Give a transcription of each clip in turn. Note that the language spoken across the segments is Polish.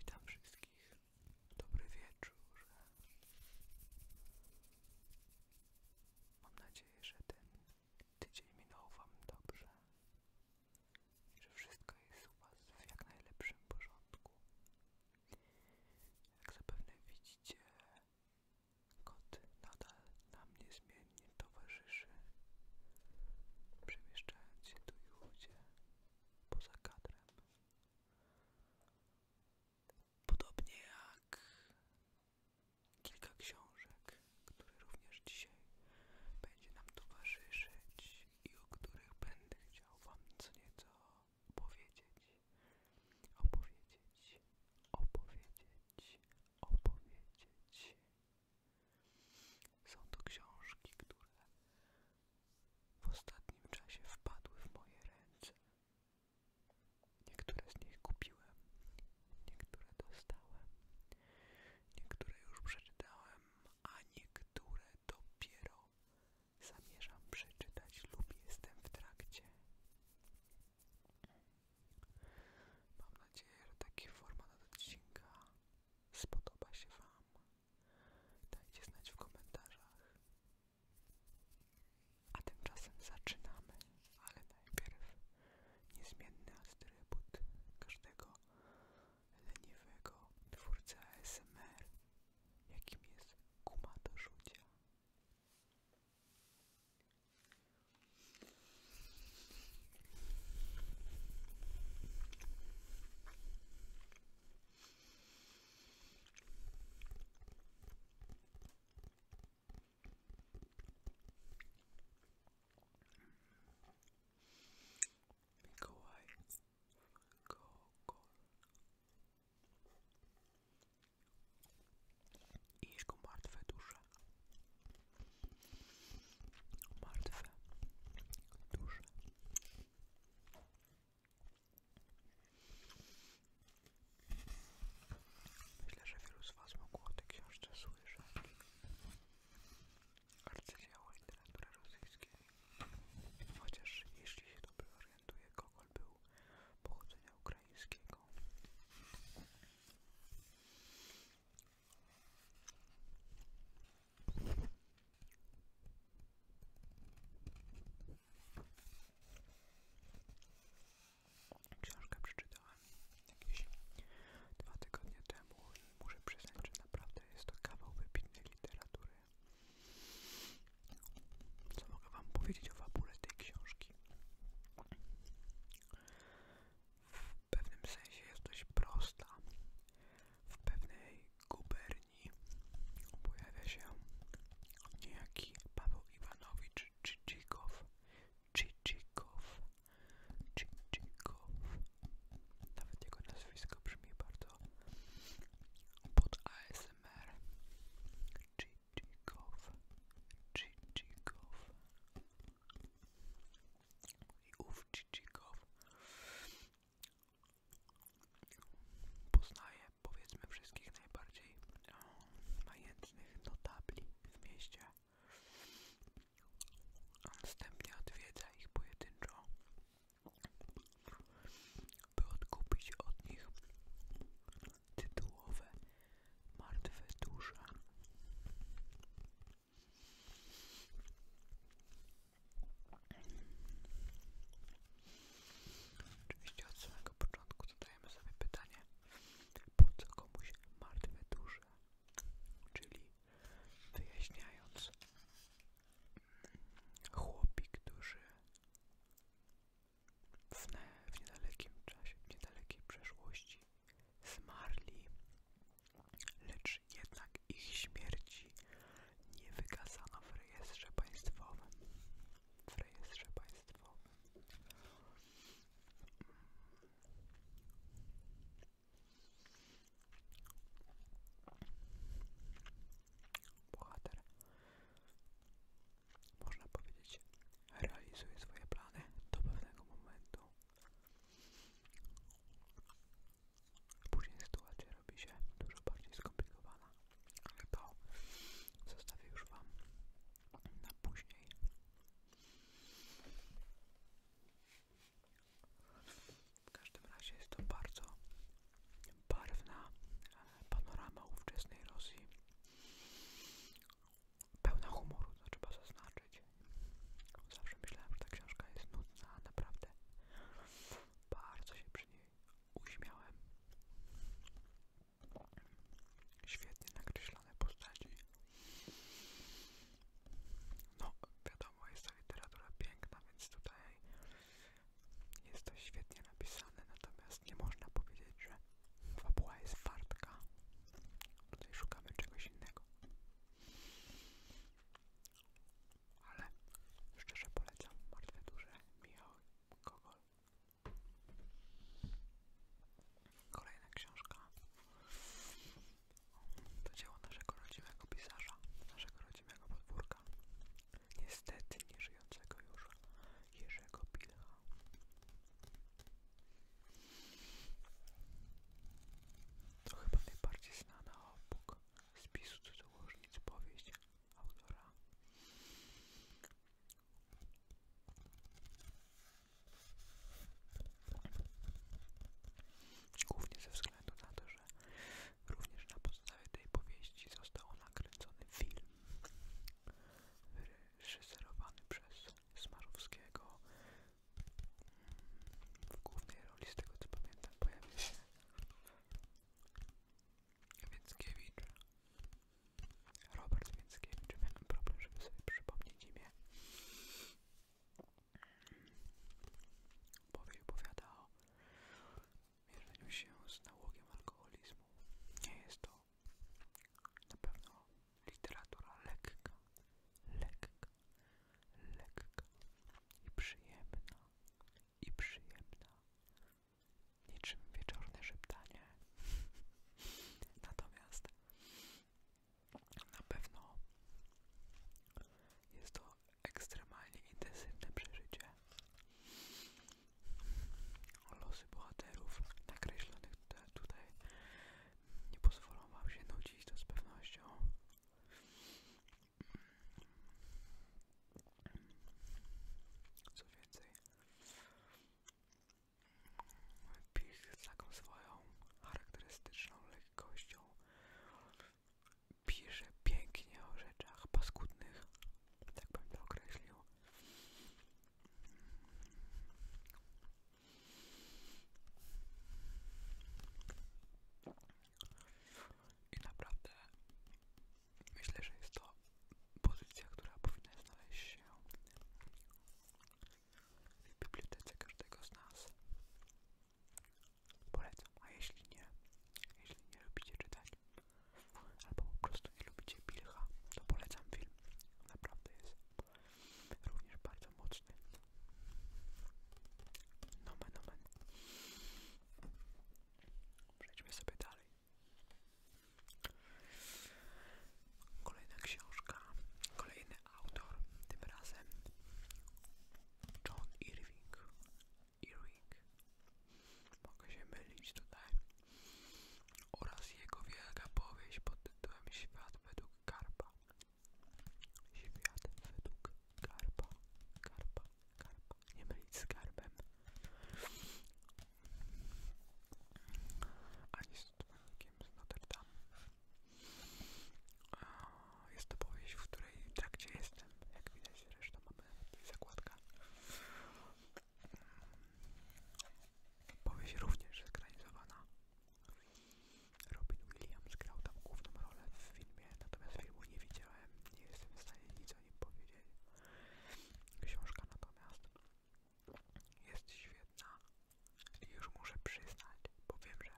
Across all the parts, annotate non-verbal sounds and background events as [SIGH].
Witam wszystkich. Dobry wieczór. Mam nadzieję, że ten tydzień minął Wam dobrze. I że wszystko jest u Was w jak najlepszym porządku. Jak zapewne widzicie, kot nadal nam niezmiennie towarzyszy, przemieszczając się tu i ówdzie poza kadrem. Podobnie jak kilka książek, które również dzisiaj będzie nam towarzyszyć i o których będę chciał Wam co nieco powiedzieć, opowiedzieć, opowiedzieć, opowiedzieć. Są to książki, które w ostatnim czasie wpadły w moje ręce. Niektóre z nich kupiłem, niektóre dostałem, niektóre już przeczytałem, a niektóre dopiero zamierzam przeczytać lub jestem w trakcie. Mam nadzieję, że taki format odcinka spodoba się Wam. Dajcie znać w komentarzach. A tymczasem zaczynamy, ale najpierw niezmienny atrybut każdego leniwego twórcy ASMR, jakim jest guma do rzucia. Mikołaj Gogol i jego martwe dusze martwe Myślę, że wielu z Was mogło o tej książce słyszeć. Arcydzieło literatury rosyjskiej. Chociaż jeśli się dobrze orientuje, Gogol był pochodzenia ukraińskiego. Książkę przeczytałem jakieś dwa tygodnie temu i muszę przyznać, że naprawdę jest to kawał wybitnej literatury. Co mogę wam powiedzieć o fabule tej książki? W pewnym sensie jest dość prosta, w pewnej guberni pojawia się niejaki Paweł Iwanowicz Czyczykow. Czyczykow. Czyczykow. Nawet jego nazwisko brzmi bardzo pod ASMR. Czyczykow. Czyczykow. I ów Czyczykow poznaje powiedzmy wszystkich najbardziej e, majętnych notabli w mieście. Następnie odwiedza ich pojedynczo, by odkupić od nich tytułowe martwe dusze. Oczywiście od samego początku zadajemy sobie pytanie, po co komuś martwe duże, czyli wyjaśniając mm, chłopik duży w niedalekim czasie, w niedalekiej przeszłości zmarli lecz jednak ich śmierci nie wykazano w rejestrze państwowym. W rejestrze państwowym. Bohater, można powiedzieć, realizuje swoje plany do pewnego momentu, Później sytuacja robi się dużo bardziej skomplikowana, ale to zostawię już Wam na później. W każdym razie jest to bardzo barwna e, panorama ówczesnej Rosji, pełna humoru, trzeba zaznaczyć, Zawsze myślałem, że ta książka jest nudna, a naprawdę bardzo się przy niej uśmiałem. Świetnie nakreślone postaci. No, wiadomo, jest to literatura piękna, więc tutaj jest to świetnie napisane, natomiast nie można powiedzieć, że fabuła jest wartka. Tutaj szukamy czegoś innego ale szczerze polecam Martwe Duże Michał Kogol. Kolejna książka to dzieło naszego rodzimego pisarza, naszego rodzimego podwórka, niestety nie żyjącego już Jerzego Pilcha. To chyba najbardziej znana obok spisu cudzołożnic powieść autora. Głównie ze względu na to, że również na podstawie tej powieści został nakręcony film wyreżyserowany przez Smarowskiego w głównej roli, z tego co pamiętam, pojawił się Więckiewicz. Robert Więckiewicz. Miałem problem, żeby sobie przypomnieć imię. Powiew powiada o mierzeniu się z nałogiem alkoholizmu. Nie jest to na pewno literatura lekka, lekka, lekka i przyjemna, i przyjemna, niczym wieczorne szeptanie. [LAUGHS] Natomiast na pewno jest to ekstremalnie intensywne przeżycie. Losy bohaterów nakreślonych tutaj nie pozwolą Wam się nudzić, to z pewnością. Co więcej, Pich z taką swoją charakterystyczną lekkością pisze pięknie o rzeczach paskudnych, tak bym to określił. I naprawdę myślę, że jest to pozycja, która powinna znaleźć się w bibliotece każdego z nas. Polecam, a jeśli nie, jeśli nie lubicie czytać, albo po prostu nie lubicie pilcha, to polecam film. Naprawdę jest również bardzo mocny. No Nomen nomen. Przejdźmy sobie dalej. Kolejna książka, kolejny autor, tym razem John Irving. Irving. Mogę się mylić tutaj. Oraz jego wielka powieść pod tytułem Świat według Karpa. Świat według garba, garba, garba, nie mylić z garbem. Ani z dzwonnikiem z Notre Dame. Jest to powieść, w której w trakcie jestem. Jak widać, resztą mamy zakładkę. Powieść również ekranizowana Robin Williams grał tam główną rolę w filmie, natomiast filmu nie widziałem, nie jestem w stanie nic o nim powiedzieć. Książka natomiast jest świetna i już muszę przyznać, bo wiem, że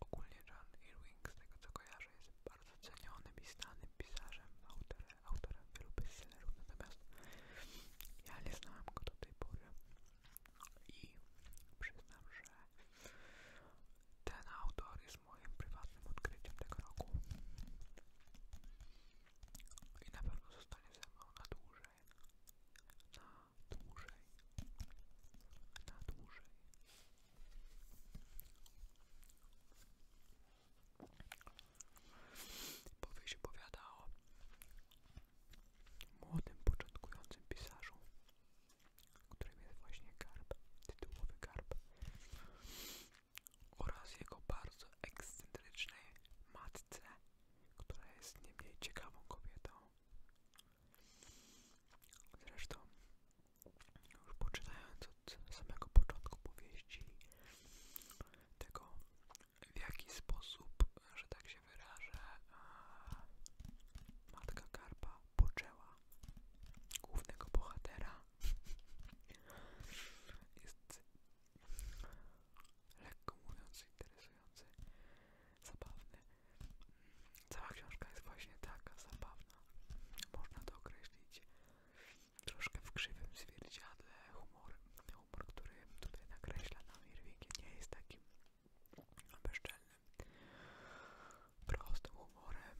ogólnie John Irving, z tego co kojarzę, jest bardzo cenionym i znanym pisarzem, autorem, autorem wielu bestsellerów, natomiast ja nie znałem go do tej pory i przyznam, że ten autor jest moim prywatnym odkryciem tego roku i na pewno zostanie ze mną na dłużej, na dłużej, na dłużej. Powieść opowiada o młodym, początkującym pisarzu, którym jest właśnie Garb, tytułowy Garb, oraz jego bardzo ekscentrycznej matce, która jest nie mniej ciekawą kobietą. Zresztą, już poczynając od samego początku powieści, tego w jaki sposób, że tak się się matka Karpa poczęła głównego bohatera. Jest lekko mówiąc interesujący, zabawny. Cała książka jest właśnie taka zabawna. Można to określić troszkę w krzywym zwierciadle humor. Humor, który tutaj nakreśla na Irving nie jest takim bezczelnym, prostym humorem.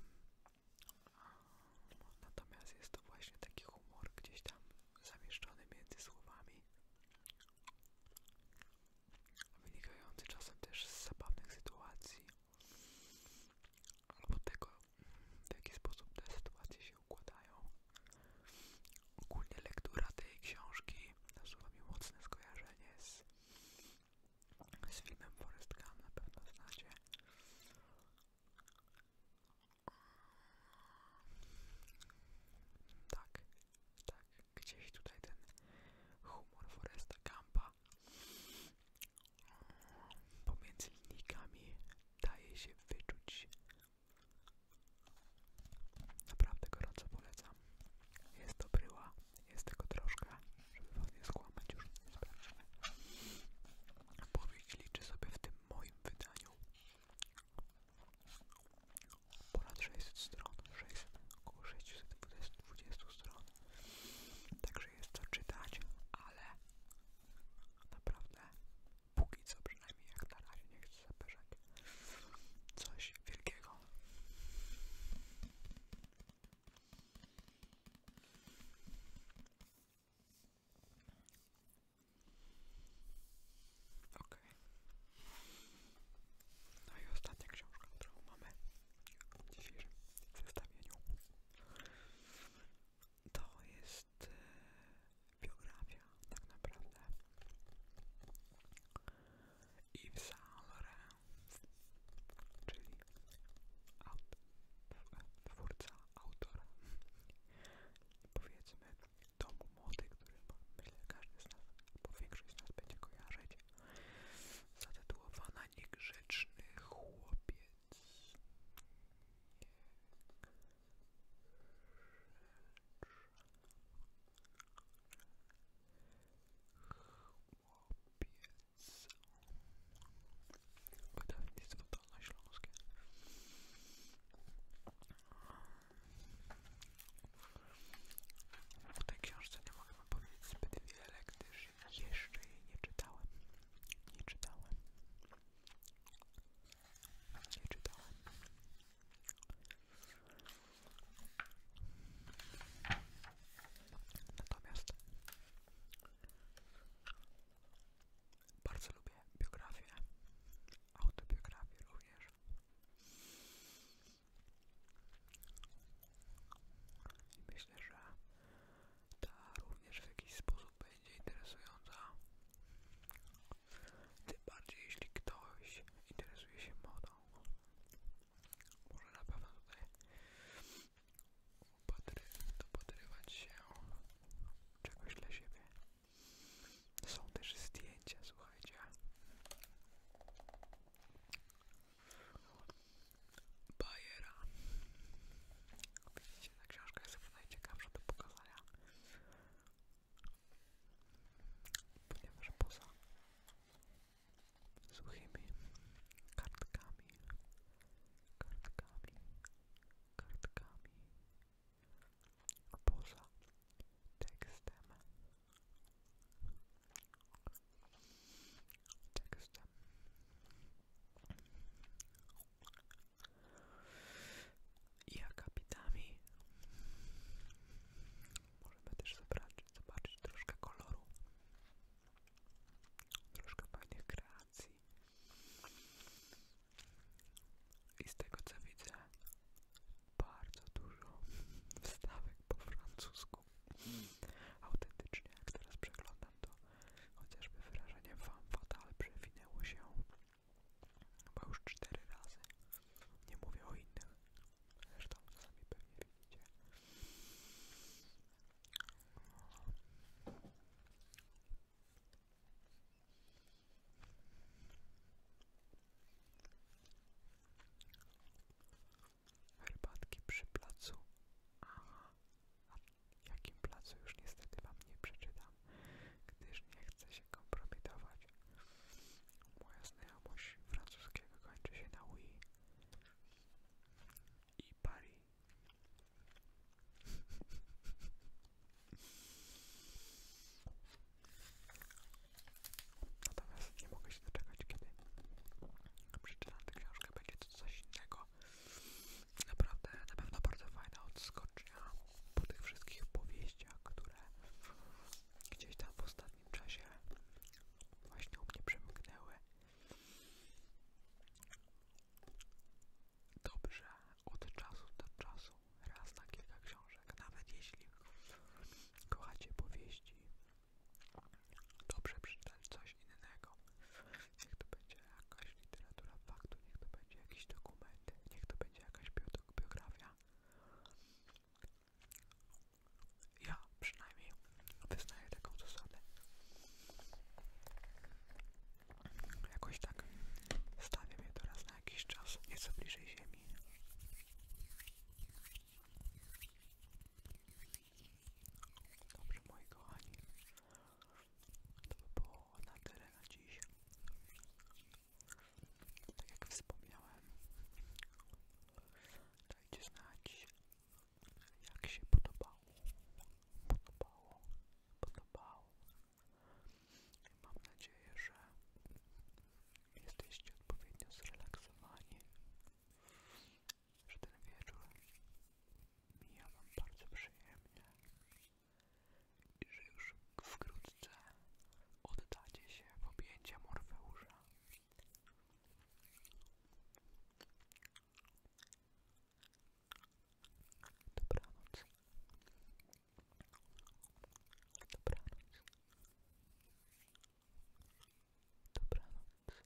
Natomiast jest to właśnie taki humor gdzieś tam zamieszczony między słowami, wynikający czasem też z zabawnych sytuacji albo tego, w jaki sposób te sytuacje się układają. Ogólnie lektura tej książki nasuwa mi mocne skojarzenie z, filmem Forest Gump, na pewno znacie. Tak, tak, gdzieś tutaj ten humor Foresta Gumpa pomiędzy linijkami daje się wyczuć. Naprawdę gorąco polecam. Jest to bryła, jest tylko troszkę, żeby was nie skłamać już. Sprawdźmy. Powieść liczy sobie w tym moim wydaniu ponad 600 stron, 600, około 620 stron. Także jest co czytać, ale naprawdę póki co przynajmniej jak na razie nie chcę zapeszek. Coś wielkiego. Ok. No i ostatnia książka, którą mamy w dzisiejszym zestawieniu, to jest e, biografia tak naprawdę. I w Saint Laurent, czyli aut, twórca, autor, powiedzmy, domu mody, który myślę każdy z nas, bo większość z nas będzie kojarzyć, zatytułowana Niegrzeczny Chłopiec. Chłopiec. Wydawnictwo dolnośląskie. W tej książce nie mogę wam powiedzieć zbyt wiele, gdyż jeszcze jej nie czytałem. Nie czytałem. Nie czytałem. Natomiast bardzo lubię biografię, autobiografię również. I myślę, że ta również w jakiś sposób będzie interesująca tym bardziej jeśli ktoś interesuje się modą. Może na pewno tutaj upatry, dopatrywać się czegoś dla siebie. Są też zdjęcia, słuchajcie. Bajera. Widzicie, ta książka jest chyba najciekawsza do pokazania ponieważ poza suchymi kartkami, kartkami, kartkami, poza tekstem, tekstem, i akapitami. Możemy też zobaczyć, zobaczyć troszkę koloru, troszkę fajnych kreacji. I z tego co widzę, bardzo dużo wstawek po francusku. Autentycznie, jak teraz przeglądam to, chociażby wyrażenie wam fan fatal przewinęło się Chyba już cztery razy. Nie mówię o innych. Zresztą sami pewnie widzicie. Herbatki przy placu. Aha. A jakim placu już niestety wam nie przeczytam, gdyż nie chcę się kompromitować grać. Moja znajomość francuskiego kończy się na Wii i Paris. [LAUGHS] Natomiast nie mogę się doczekać, kiedy przeczytam tę książkę, będzie to coś innego. Naprawdę, na pewno bardzo fajna odskocznia po tych wszystkich powieściach, które gdzieś tam w ostatnim czasie właśnie u mnie przemknęły. Dobrze, od czasu do czasu, raz na kilka książek, nawet jeśli kochacie powieści, dobrze przeczytać coś innego. Niech to będzie jakaś literatura faktu, niech to będzie jakieś dokumenty, niech to będzie jakaś biografia, ja przynajmniej wyznaję taką zasadę. Jakoś tak stawiam je teraz na jakiś czas nieco bliżej ziemi. Dobrze moi kochani, to by było na tyle na dziś. Tak jak wspomniałem, dajcie znać, jak się podobało, podobało, podobało. Mam nadzieję, że jesteście odpowiednio zrelaksowani, że ten wieczór mija Wam bardzo przyjemnie że już wkrótce oddacie się w objęcia Morfeusza. Dobranoc. Dobranoc. Dobranoc.